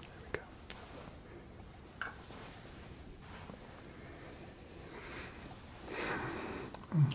There we go. Mm.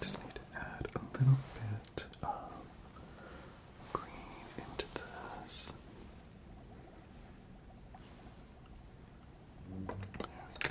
Just need to add a little bit of green into this. There we go.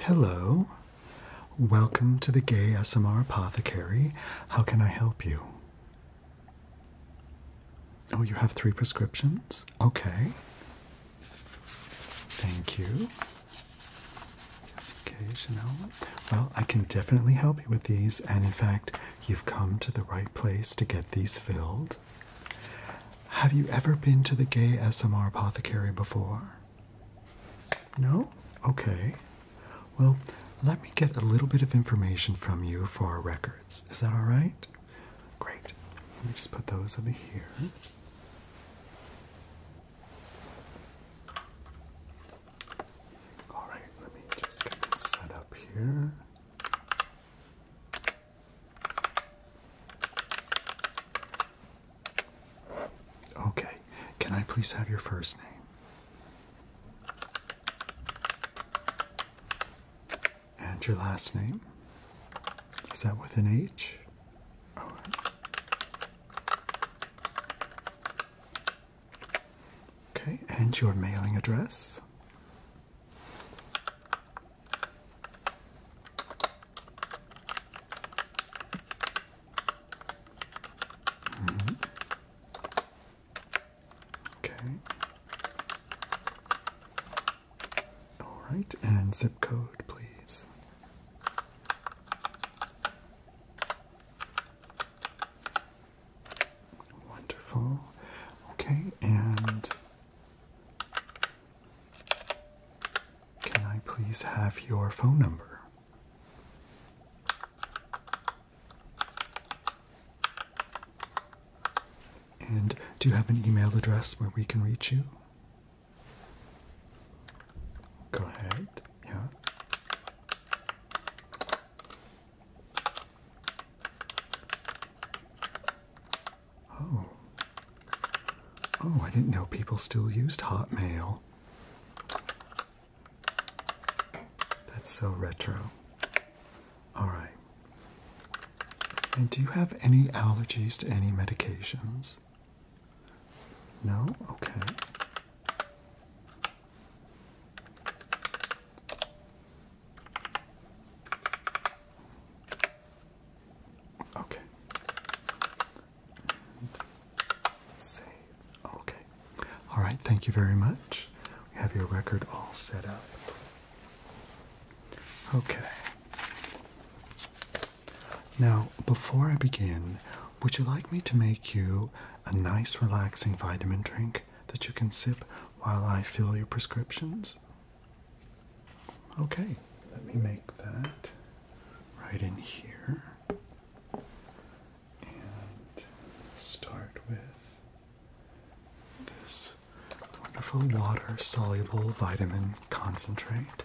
Hello. Welcome to the Gay SMR Apothecary. How can I help you? Oh, you have three prescriptions? Okay. Thank you okay, Chanel. Well, I can definitely help you with these, and in fact, you've come to the right place to get these filled. Have you ever been to the Gay SMR Apothecary before? No? Okay. Well, let me get a little bit of information from you for our records. Is that all right? Great. Let me just put those over here. All right, let me just get this set up here. Okay, can I please have your first name? And your last name? Is that with an H? Okay, and your mailing address. Mm-hmm. Okay. All right, and zip code, please. Wonderful. Okay, and can I please have your phone number? And do you have an email address where we can reach you? Go ahead, yeah. Oh. Oh, I didn't know people still used Hotmail. That's so retro. Alright. And do you have any allergies to any medications? No? Okay. Okay. save. Okay. All right. Thank you very much. We have your record all set up. Okay. Now, before I begin, would you like me to make you a nice, relaxing vitamin drink that you can sip while I fill your prescriptions? Okay, let me make that right in here and start with this wonderful water soluble vitamin concentrate.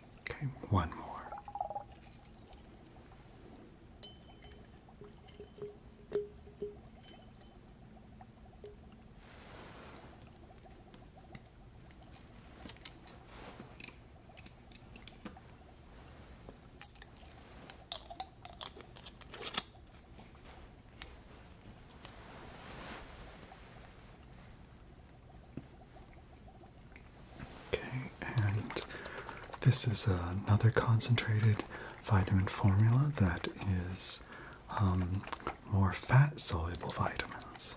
Okay, one more. Okay, and this is another concentrated vitamin formula that is um, more fat soluble vitamins.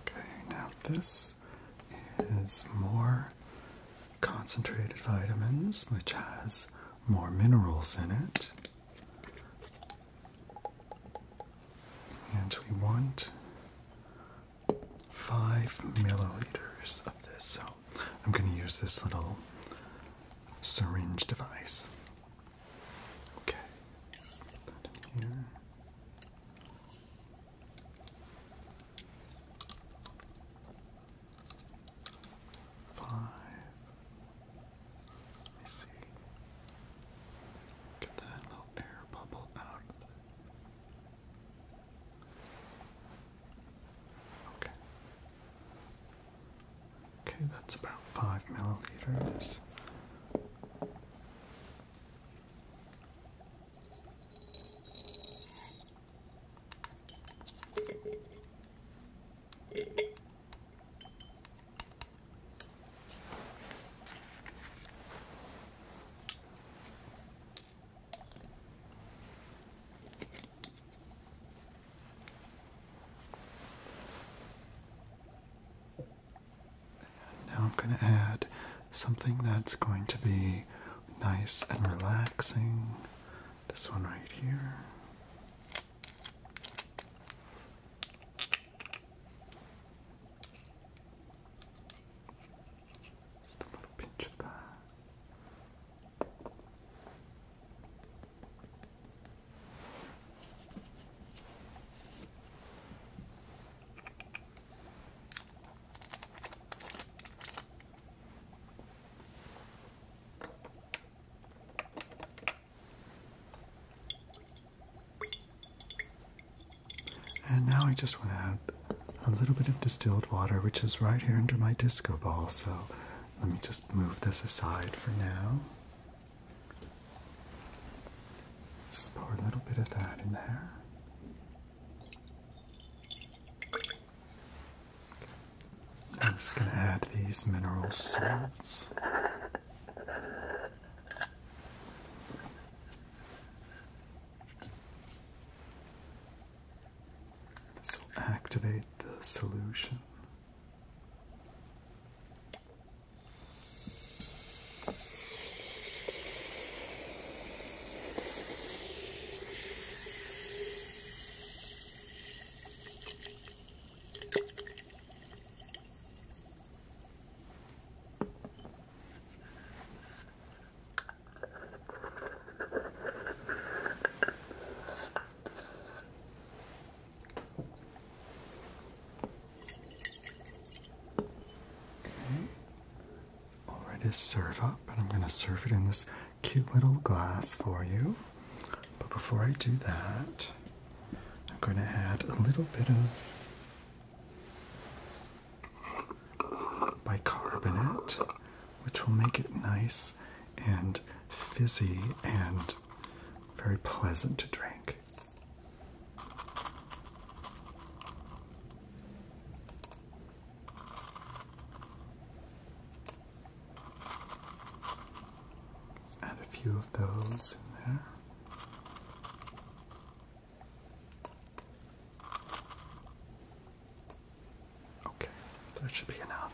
Okay, now this is more concentrated vitamins, which has more minerals in it. And we want five milliliters of this. So I'm going to use this little syringe device. Okay, Five. Let me see. Get that little air bubble out Okay. Okay, that's about five milliliters. Now I'm going to add something that's going to be nice and relaxing this one right here. Just a little pinch of that. And now I just want to add a little bit of distilled water, which is right here under my disco ball. So let me just move this aside for now. Just pour a little bit of that in there. I'm just going to add these mineral salts. This will activate the solution. Okay. All right, is serve up, and I'm going to serve it in this cute little glass for you. But before I do that, I'm going to add a little bit of bicarbonate, which will make it nice and fizzy and very pleasant to drink add a few of those in there. Okay, that should be enough.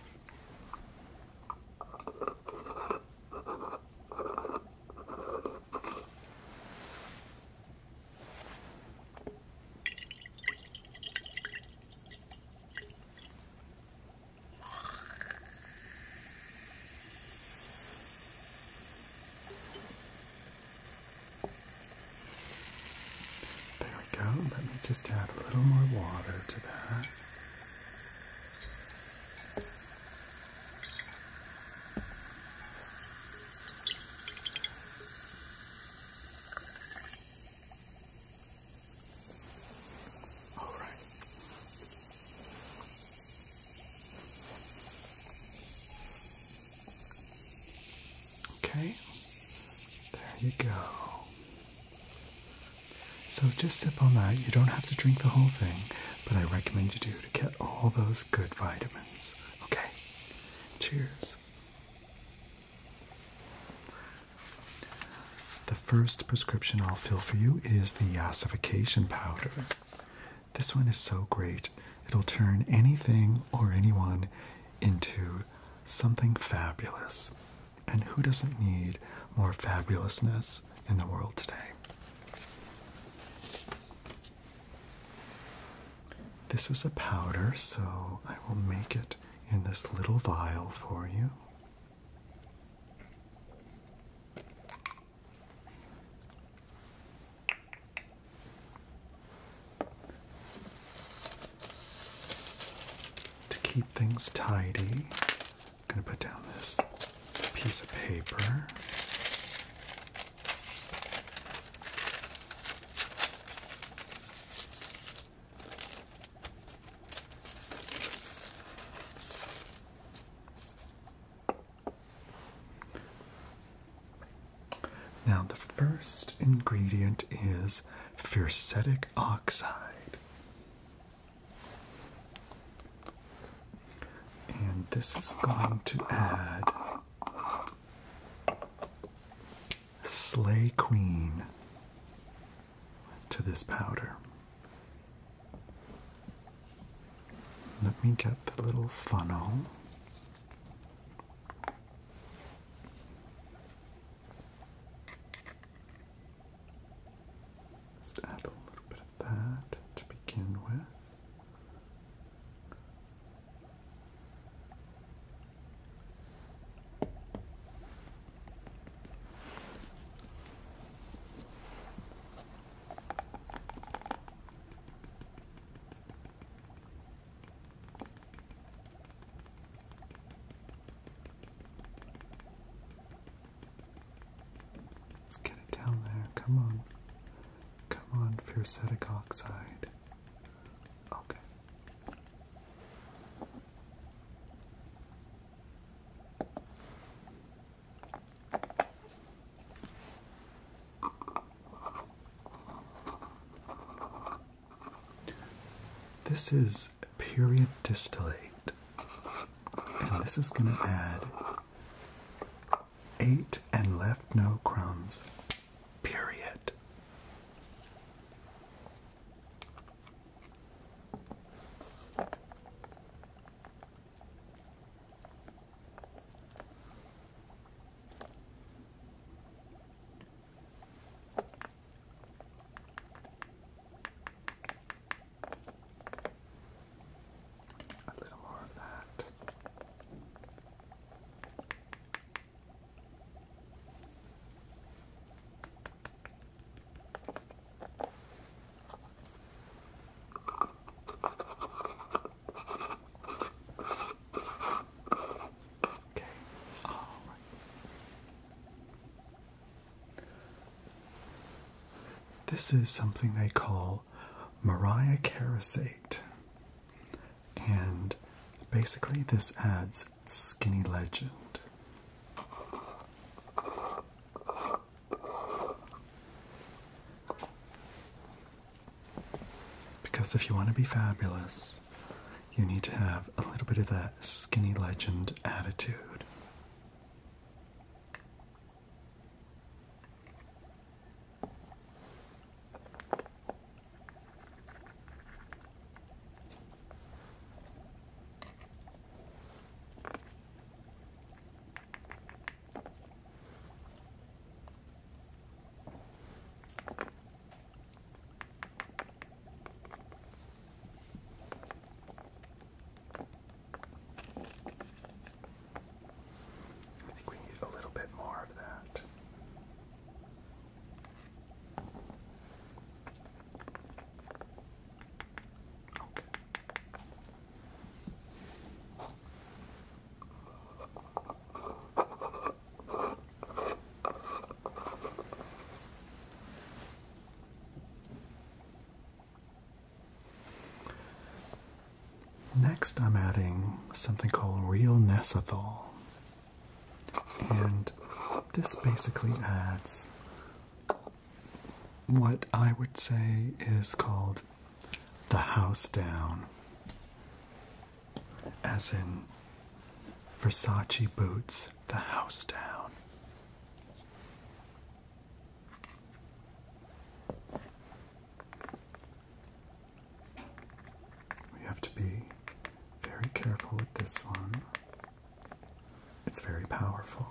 There we go. Let me just add a little more water to that. All right. Okay. There you go. So just sip on that. You don't have to drink the whole thing, but I recommend you do to get all those good vitamins. Okay. Cheers. The first prescription I'll fill for you is the yassification powder. This one is so great, it'll turn anything or anyone into something fabulous. And who doesn't need more fabulousness in the world today? This is a powder, so I will make it in this little vial for you. To keep things tidy, I'm going to put down this piece of paper. Now, the first ingredient is fiercetic oxide, and this is going to add Slay Queen to this powder. Let me get the little funnel. Just add a little bit of that to begin with. Let's get it down there. Come on. Come on, fiercetic oxide. Okay. This is period distillate, and this is going to add eight and left no crumbs. Period. A little more of that. Okay, all right. This is something they call Mariah Carasate. And basically, this adds Skinny Legend. Because if you want to be fabulous, you need to have a little bit of a skinny legend attitude. I think we need a little bit more of that. Next, I'm adding something called real nesethol, and this basically adds what I would say is called the house down, as in Versace boots, the house down. We have to be very careful with this one. It's very powerful.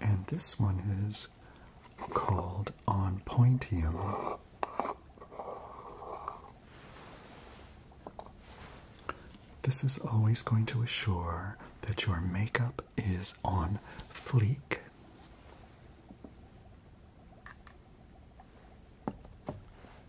And this one is called On Pointium. This is always going to assure that your makeup is on fleek.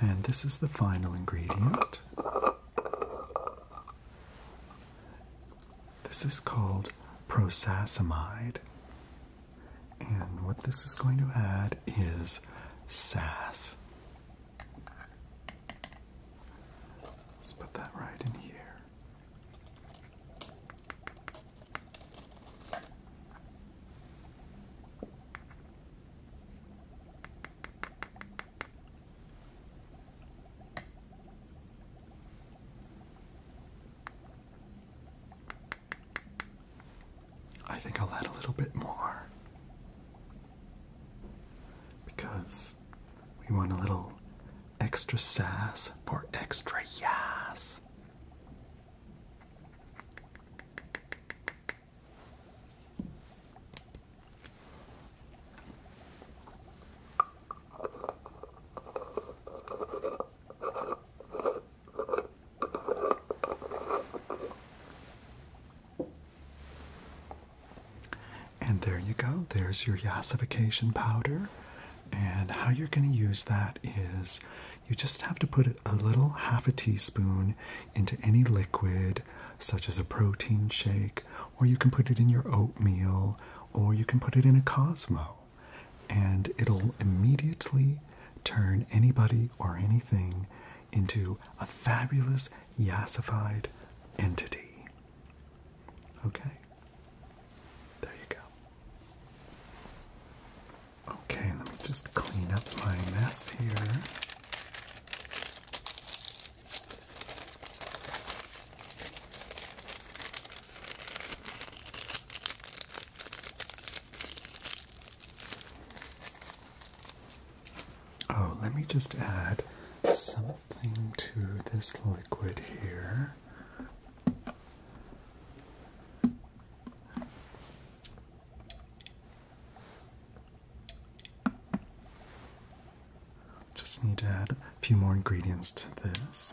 And this is the final ingredient. This is called prosasamide. And what this is going to add is sass. Let's put that right in here. I think I'll add a little bit more because we want a little extra sass for extra yas. And there you go. There's your yassification powder. And how you're going to use that is you just have to put a little half a teaspoon into any liquid, such as a protein shake, or you can put it in your oatmeal, or you can put it in a Cosmo. And it'll immediately turn anybody or anything into a fabulous yasified entity. Okay? There you go. Okay, let me just clean up my mess here. Oh, let me just add something to this liquid here. Just need to add a few more ingredients to this.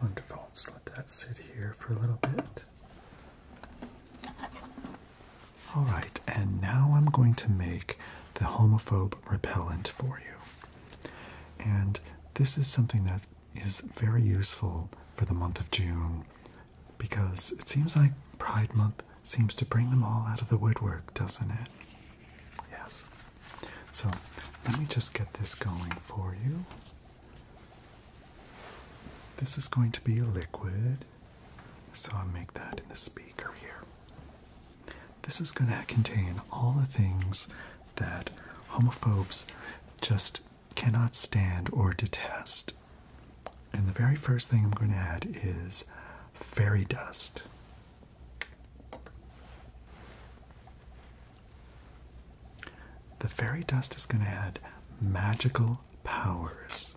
Wonderful. let that sit here for a little bit. All right, and now I'm going to make the homophobe repellent for you. And this is something that is very useful for the month of June because it seems like Pride Month seems to bring them all out of the woodwork, doesn't it? Yes. So let me just get this going for you. This is going to be a liquid, so I'll make that in the speaker here. This is going to contain all the things that homophobes just cannot stand or detest. And the very first thing I'm going to add is fairy dust. The fairy dust is going to add magical powers.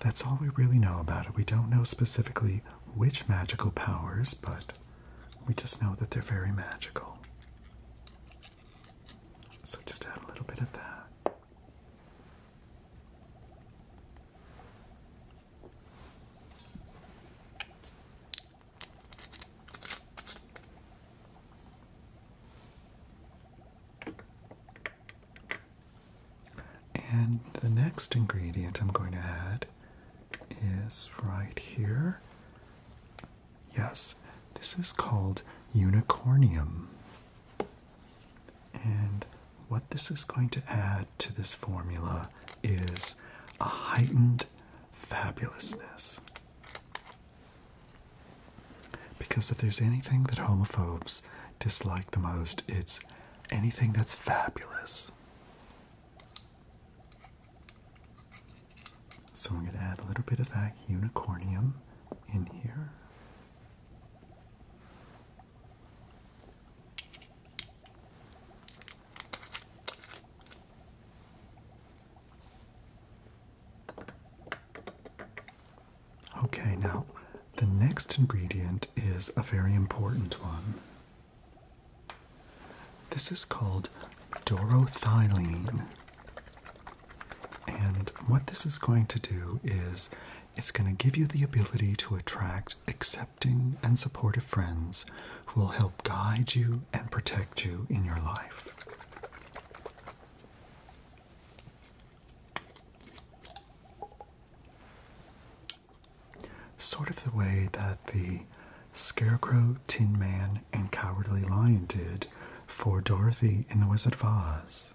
That's all we really know about it. We don't know specifically which magical powers, but we just know that they're very magical. So just add a little bit of that. And the next ingredient I'm going to add is right here. Yes, this is called unicornium. And what this is going to add to this formula is a heightened fabulousness. Because if there's anything that homophobes dislike the most, it's anything that's fabulous. So I'm going to add a little bit of that unicornium in here. Okay, now the next ingredient is a very important one. This is called dorothylene. And what this is going to do is it's going to give you the ability to attract accepting and supportive friends who will help guide you and protect you in your life. Sort of the way that the Scarecrow, Tin Man, and Cowardly Lion did for Dorothy in The Wizard of Oz.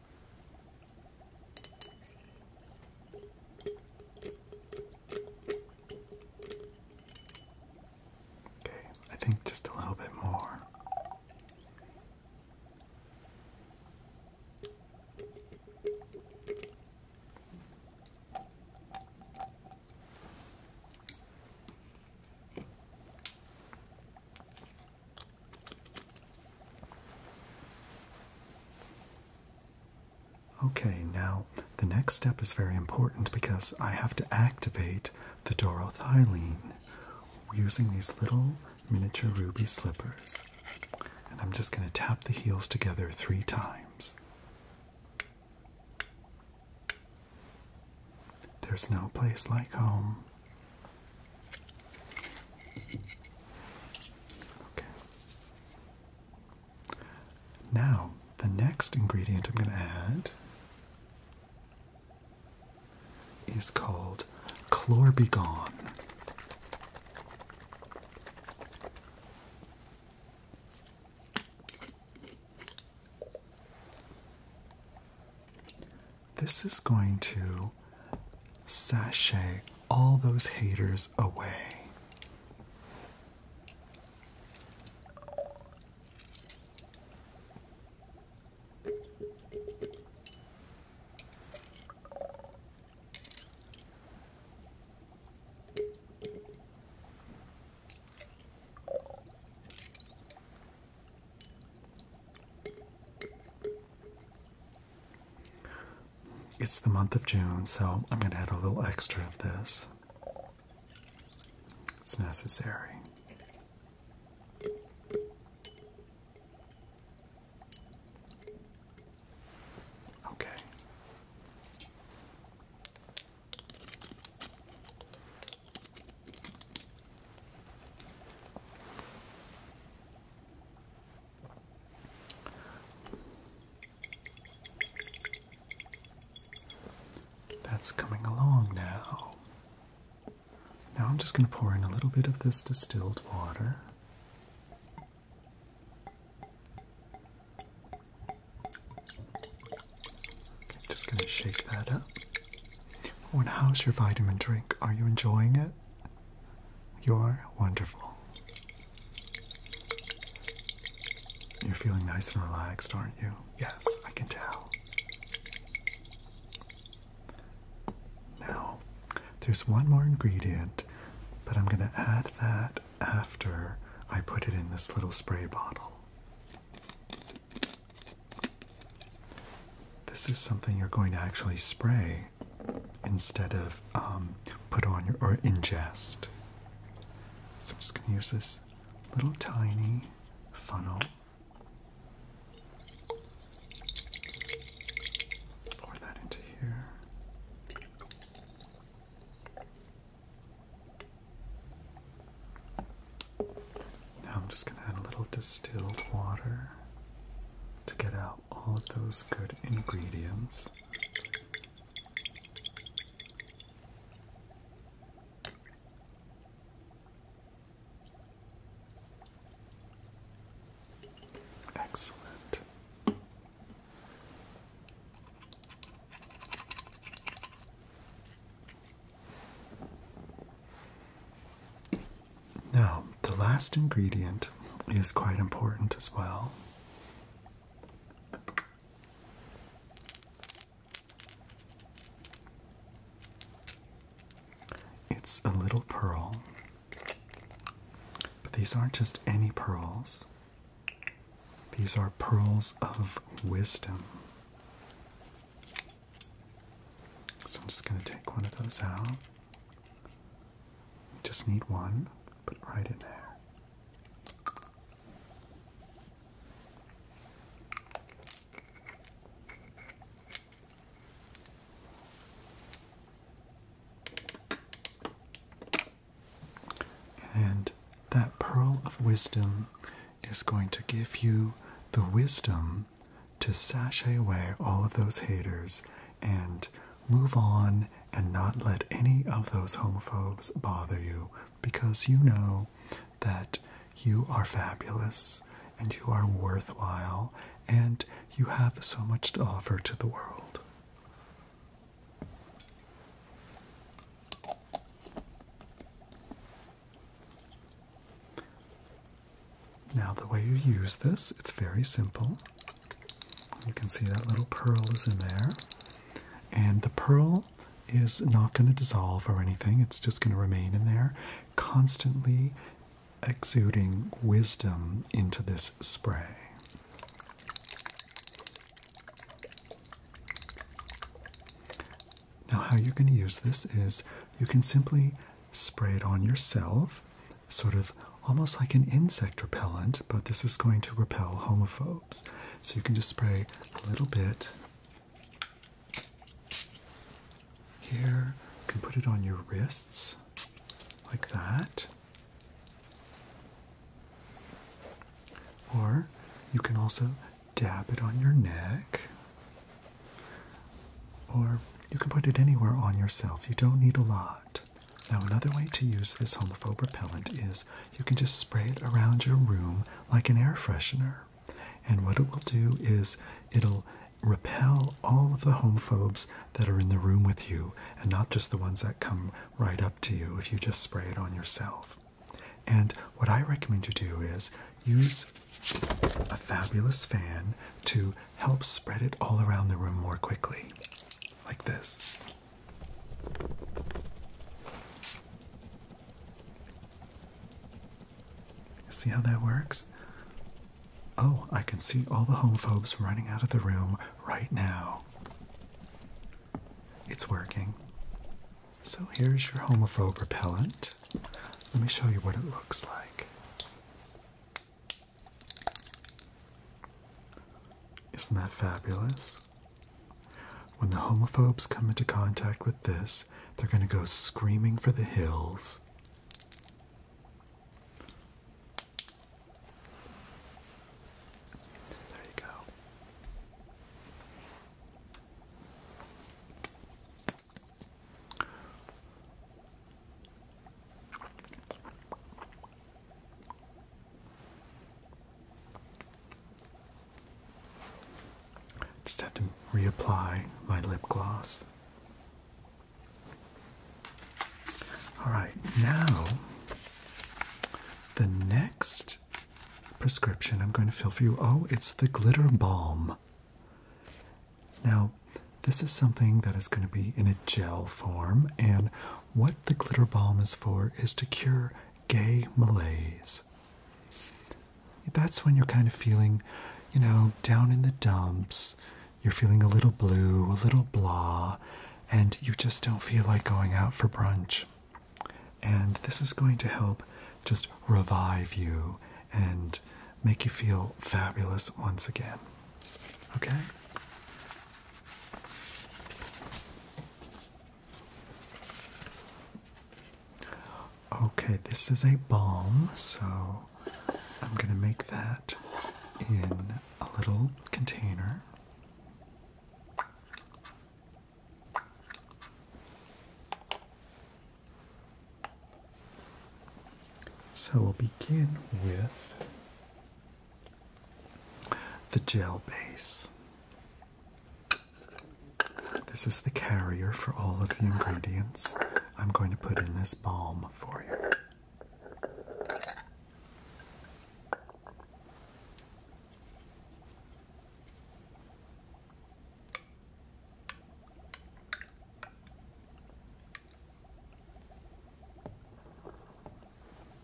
Okay, I think just a little bit more. Okay, now the next step is very important because I have to activate the dorothyline using these little miniature ruby slippers. And I'm just going to tap the heels together three times. There's no place like home. Okay. Now, the next ingredient I'm going to add is called chlorbegon. This is going to sashay all those haters away. It's the month of June, so I'm going to add a little extra of this. It's necessary. Okay. That's coming along now. Now I'm just going to pour in a little bit of this distilled water. I'm just going to shake that up. Oh, and how's your vitamin drink? Are you enjoying it? You're wonderful. You're feeling nice and relaxed, aren't you? Yes, I can tell. Now, there's one more ingredient, but I'm going to add that after I put it in this little spray bottle. This is something you're going to actually spray instead of um, put on your, or ingest. So I'm just going to use this little tiny funnel. Pour that into here. Now I'm just going to add a little distilled water to get out all of those good ingredients. Excellent. Now, the last ingredient is quite important as well, it's a little pearl, but these aren't just any pearls. These are pearls of wisdom. So I'm just going to take one of those out. Just need one. Put right in there. And that pearl of wisdom is going to give you the wisdom to sashay away all of those haters and move on and not let any of those homophobes bother you because you know that you are fabulous and you are worthwhile and you have so much to offer to the world. Now, the way you use this, it's very simple. You can see that little pearl is in there. And the pearl is not going to dissolve or anything, it's just going to remain in there, constantly exuding wisdom into this spray. Now, how you're going to use this is you can simply spray it on yourself sort of almost like an insect repellent, but this is going to repel homophobes. So you can just spray a little bit here. You can put it on your wrists like that. Or you can also dab it on your neck. Or you can put it anywhere on yourself. You don't need a lot. Now, another way to use this homophobe repellent is you can just spray it around your room like an air freshener. And what it will do is it'll repel all of the homophobes that are in the room with you and not just the ones that come right up to you if you just spray it on yourself. And what I recommend you do is use a fabulous fan to help spread it all around the room more quickly, like this. See how that works? Oh, I can see all the homophobes running out of the room right now. It's working. So here's your homophobe repellent. Let me show you what it looks like. Isn't that fabulous? When the homophobes come into contact with this, they're going to go screaming for the hills. There you go. Just have to reapply my lip gloss. Alright, now the next prescription I'm going to fill for you oh, it's the glitter balm. Now, this is something that is going to be in a gel form, and what the glitter balm is for is to cure gay malaise. That's when you're kind of feeling, you know, down in the dumps. You're feeling a little blue, a little blah, and you just don't feel like going out for brunch. And this is going to help just revive you and make you feel fabulous once again. Okay? Okay, this is a balm, so I'm going to make that in a little container. So we'll begin with the gel base. This is the carrier for all of the ingredients I'm going to put in this balm for you.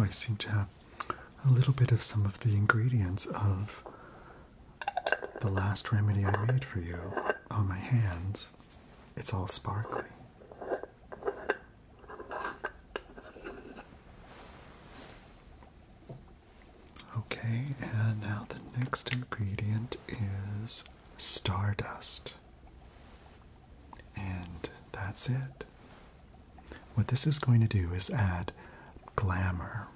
Oh, I seem to have a little bit of some of the ingredients of the last remedy I made for you on my hands. It's all sparkly. Okay, and now the next ingredient is stardust. And that's it. What this is going to do is add glamour.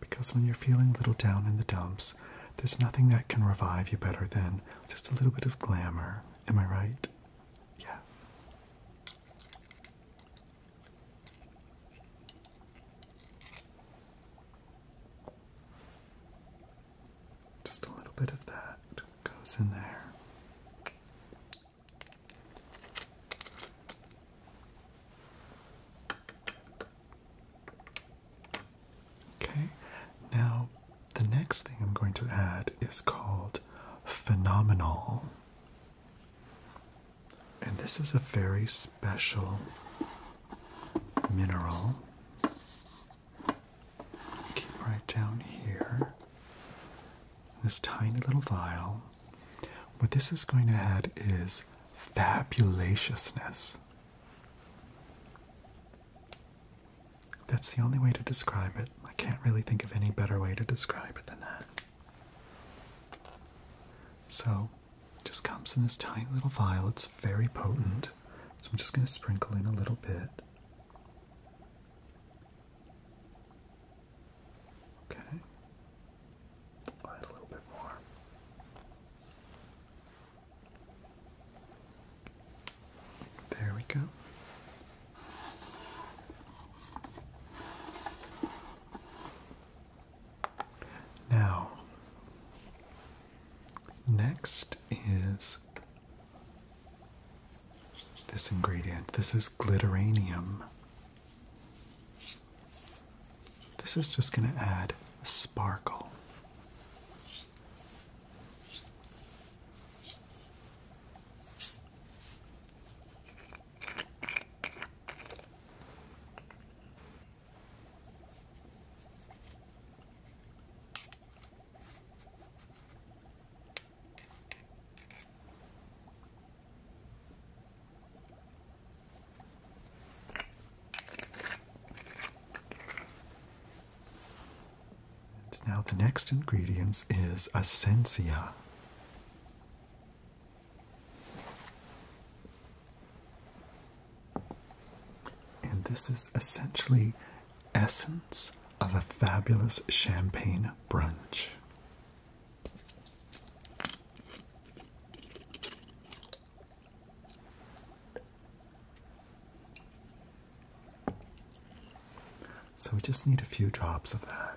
Because when you're feeling a little down in the dumps, there's nothing that can revive you better than just a little bit of glamour. Am I right? Yeah. Just a little bit of that goes in there. Okay, now the next thing I'm going to add is called phenomenal. And this is a very special mineral. right down here. This tiny little vial. What this is going to add is fabulatiousness. That's the only way to describe it. I can't really think of any better way to describe it than that. So, just comes in this tiny little vial. It's very potent. So, I'm just going to sprinkle in a little bit. Okay. a little bit more. There we go. Now, next is this ingredient. This is glitteranium. This is just going to add sparkle. And now the next ingredient is essencia. And this is essentially essence of a fabulous champagne brunch. So we just need a few drops of that.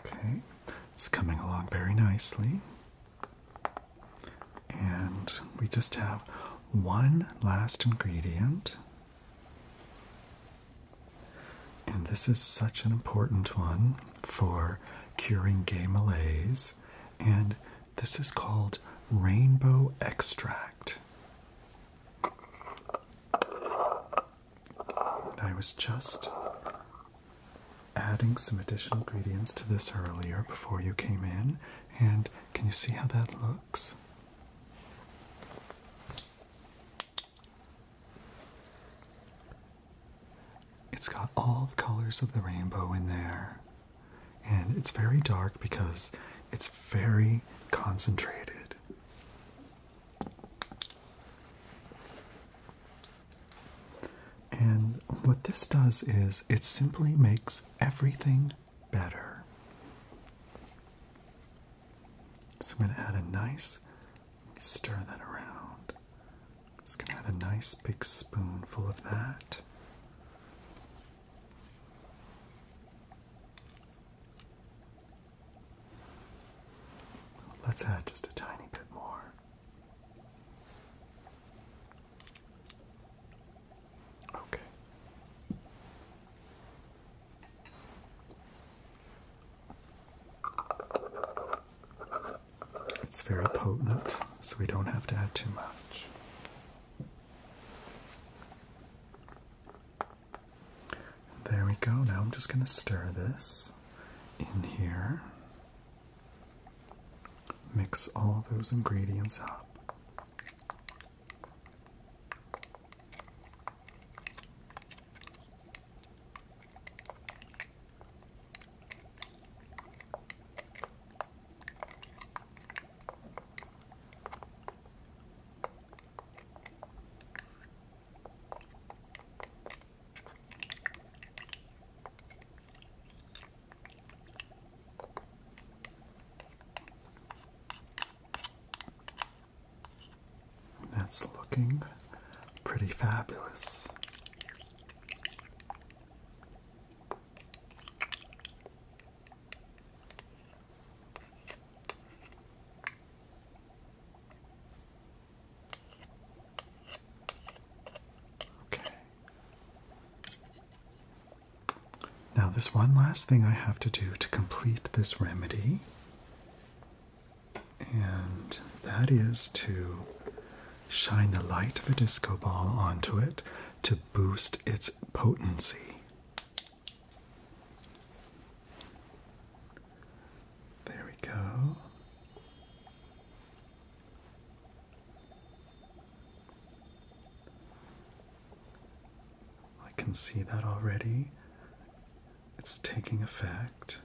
Okay, it's coming along very nicely. And we just have one last ingredient. And this is such an important one for curing gay malaise. And this is called rainbow extract. I was just adding some additional ingredients to this earlier before you came in, and can you see how that looks? It's got all the colors of the rainbow in there. And it's very dark because it's very concentrated. And what this does is it simply makes everything better. So I'm going to add a nice, stir that around. Just going to add a nice big spoonful of that. Let's add just a tiny bit more. Okay. It's very potent, so we don't have to add too much. There we go. Now I'm just going to stir this in here. Mix all those ingredients up. That's looking pretty fabulous. Okay. Now, there's one last thing I have to do to complete this remedy, and that is to shine the light of a disco ball onto it to boost its potency. There we go. I can see that already. It's taking effect.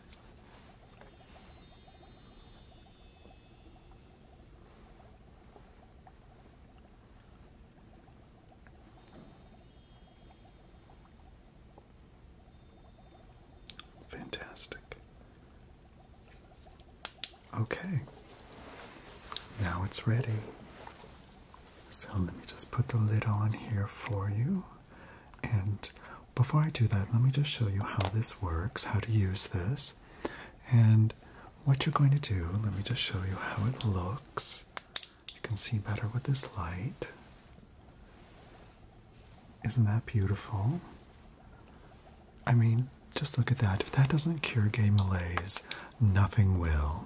Fantastic. Okay. Now it's ready. So let me just put the lid on here for you. And before I do that, let me just show you how this works, how to use this. And what you're going to do, let me just show you how it looks. You can see better with this light. Isn't that beautiful? I mean, just look at that. If that doesn't cure gay malaise, nothing will.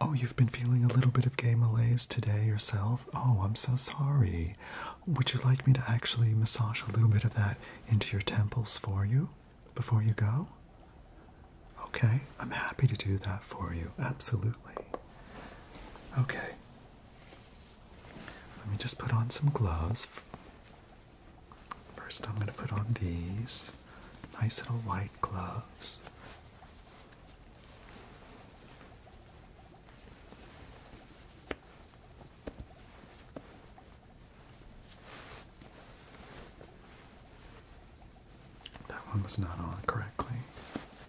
Oh, you've been feeling a little bit of gay malaise today yourself? Oh, I'm so sorry. Would you like me to actually massage a little bit of that into your temples for you before you go? Okay, I'm happy to do that for you. Absolutely. Okay, let me just put on some gloves. First, I'm going to put on these nice little white gloves. That one was not on correctly.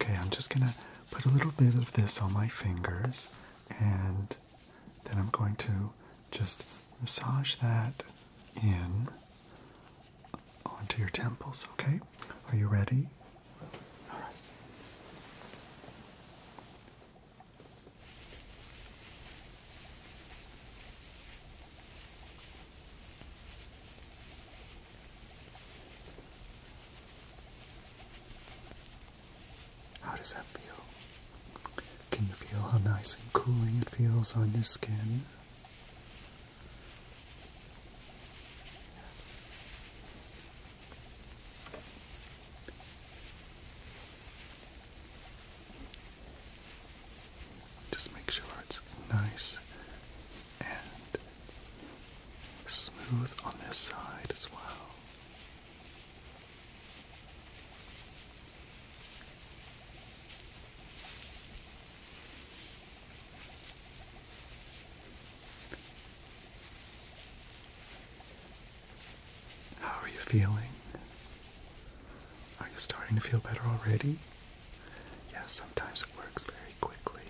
Okay, I'm just gonna put a little bit of this on my fingers, and then I'm going to just massage that in onto your temples, okay? Are you ready? How does that feel? Can you feel how nice and cooling it feels on your skin? Just make sure it's nice smooth on this side as well. How are you feeling? Are you starting to feel better already? Yes, yeah, sometimes it works very quickly.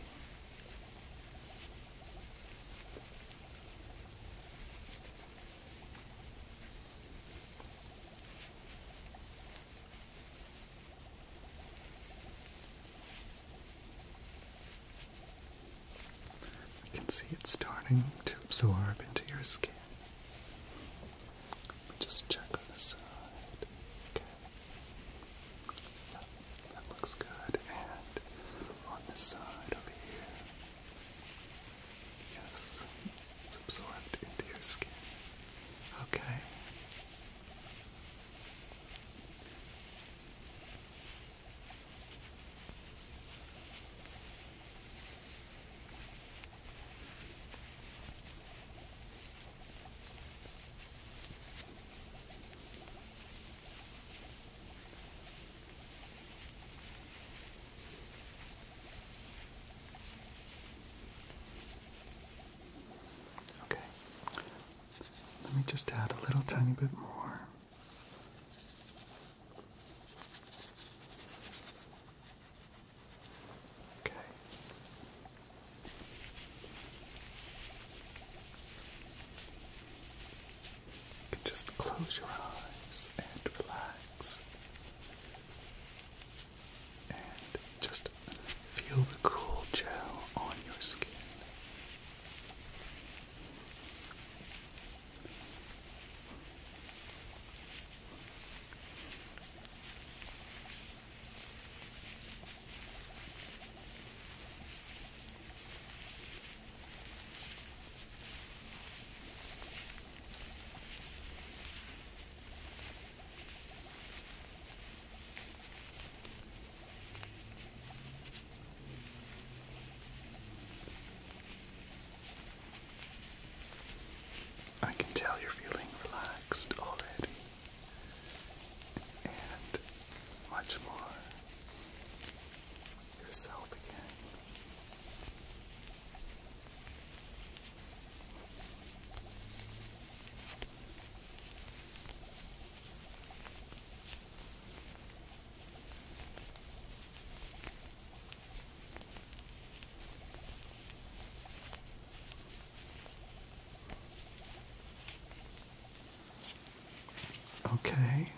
You can see it starting to absorb into your skin. Just check on the side. Okay. That looks good. And on this side over here. Yes, it's absorbed into your skin. Okay. Okay. Let me just add a little tiny bit more. Okay just close your eyes and relax. And just feel the cool gel on your skin. I can tell you're feeling relaxed already and much more yourself again. Okay.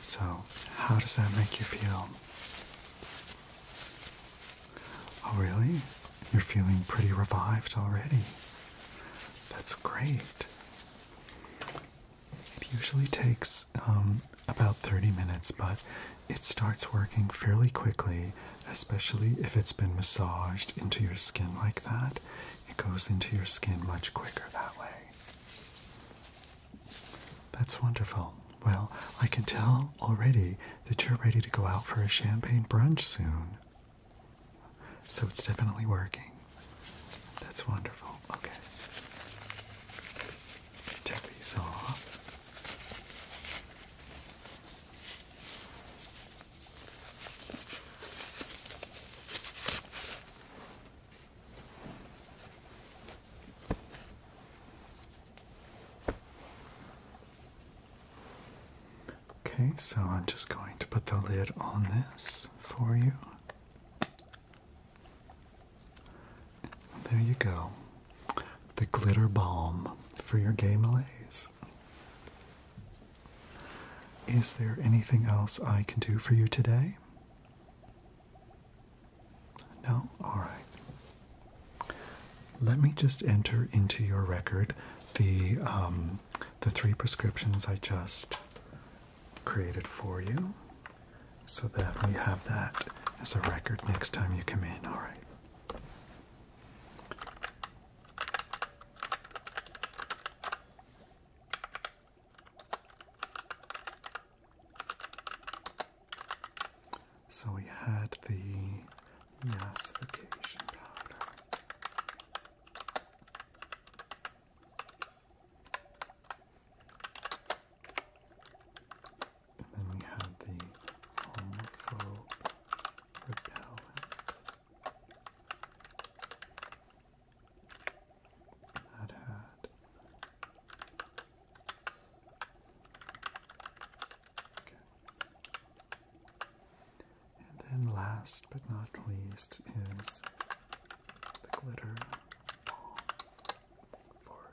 So, how does that make you feel? Oh, really? You're feeling pretty revived already. That's great. It usually takes um, about 30 minutes, but it starts working fairly quickly, especially if it's been massaged into your skin like that. It goes into your skin much quicker that way. That's wonderful. Well, I can tell already that you're ready to go out for a champagne brunch soon. So it's definitely working. That's wonderful. Okay. Take these off. Okay, so I'm just going to put the lid on this for you. There you go. The glitter balm for your gay malaise. Is there anything else I can do for you today? No? Alright. Let me just enter into your record the, um, the three prescriptions I just created for you so that we have that as a record next time you come in. Alright. So we had the yassification powder. And then we had the homophobe repellent. That hurt. And then last but not least is the glitter ball for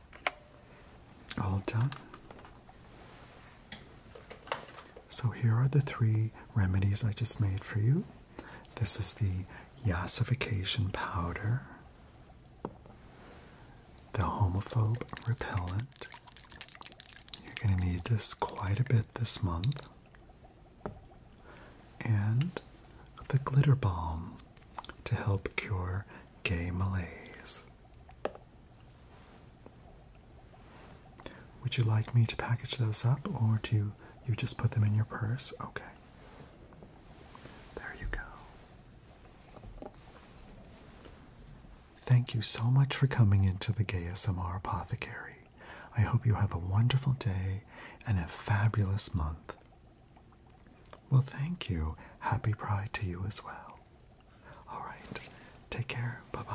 All done. So here are the three remedies I just made for you. This is the yasification powder, the homophobe repellent. You're going to need this quite a bit this month. And the glitter balm to help cure gay malaise. Would you like me to package those up or do you just put them in your purse? Okay. There you go. Thank you so much for coming into the Gay SMR Apothecary. I hope you have a wonderful day and a fabulous month. Well, thank you. Happy Pride to you as well. All right. Take care. Bye-bye.